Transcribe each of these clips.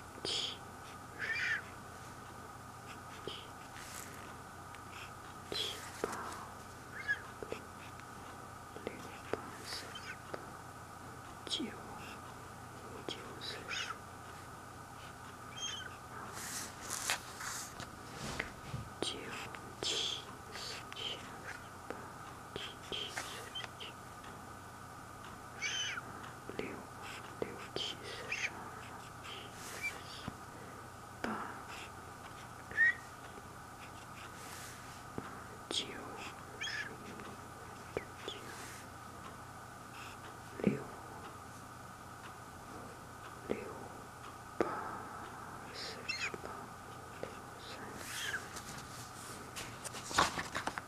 七，七，七八，六八四十八，九五九四十九七四千二七七四十七。十六六七四十二，七四四八九十六六八四十八，六三。十。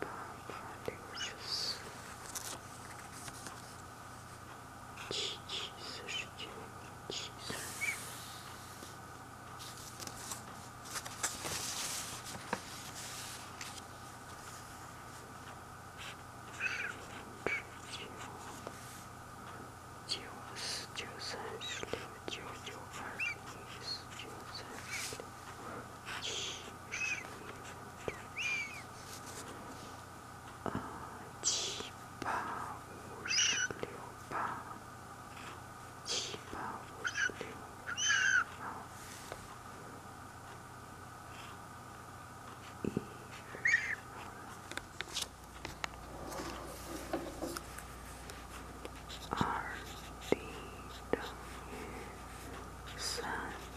八八六十四，七七四十九，七四，十五九九四九三十六，九九二十一，四九三十六，七十一。六二七八五十六八七八五十六十八一十二等于三。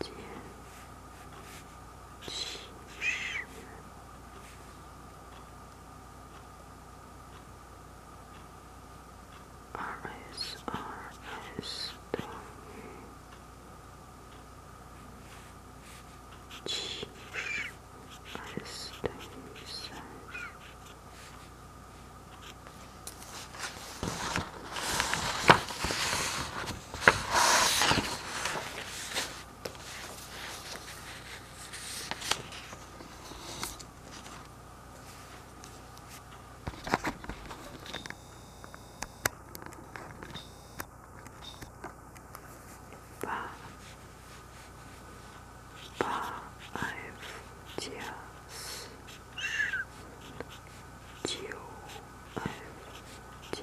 减七十，二 s 二 s 等于七十，二 s 等于三。八，八 f 加四十，九 f 加。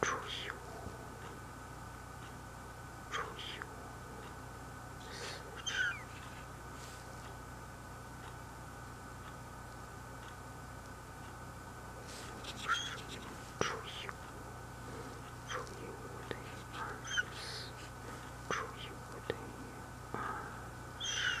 除以五，除以五，四，除以五，除以五等于二十四，除以五等于二十。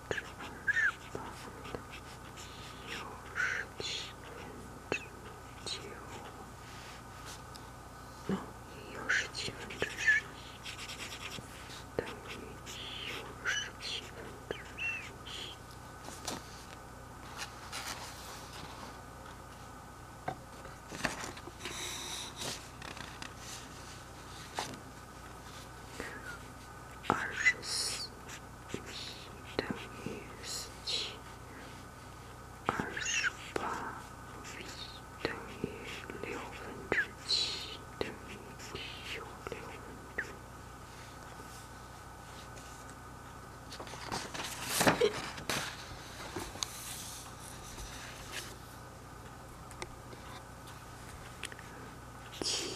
百分之十八分之六十七分之九，那六十七分之十一等于六十七分之十一。二十四等于四七，二十八等于六分之七等于六六分之七。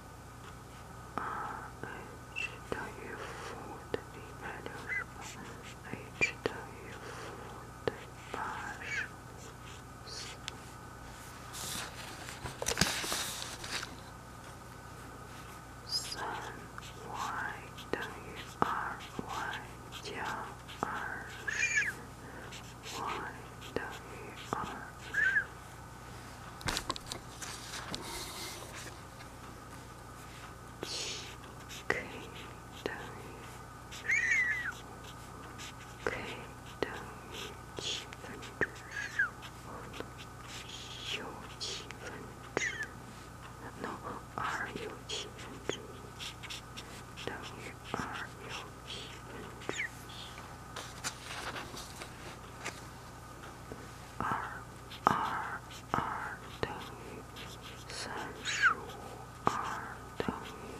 H páginas. Sun, why you are why you 七 k 等于可以等于七分之十，一又七分之 n 二又七分之一等于二又七分之一，二。二二等于三十五，二等于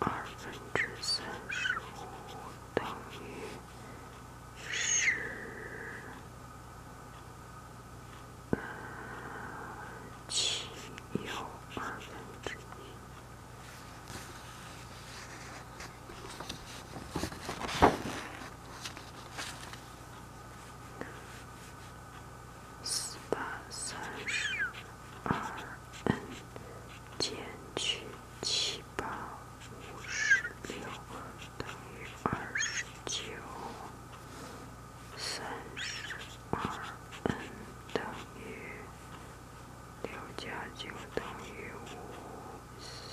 二分之三十五，等于十七又二分之一。四八三十二 n 减去七八五十六等于二十九，三十二 n 等于六加九等于五四。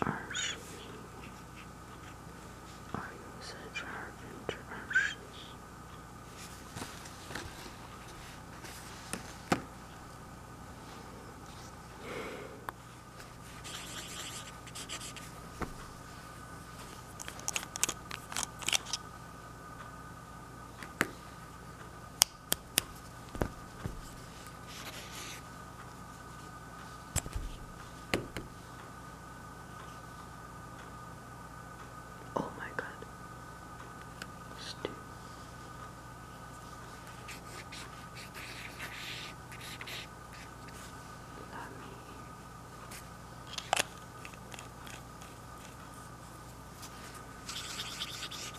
二十一，二又三十二分之二十一。Oh my God, Stu. Let me.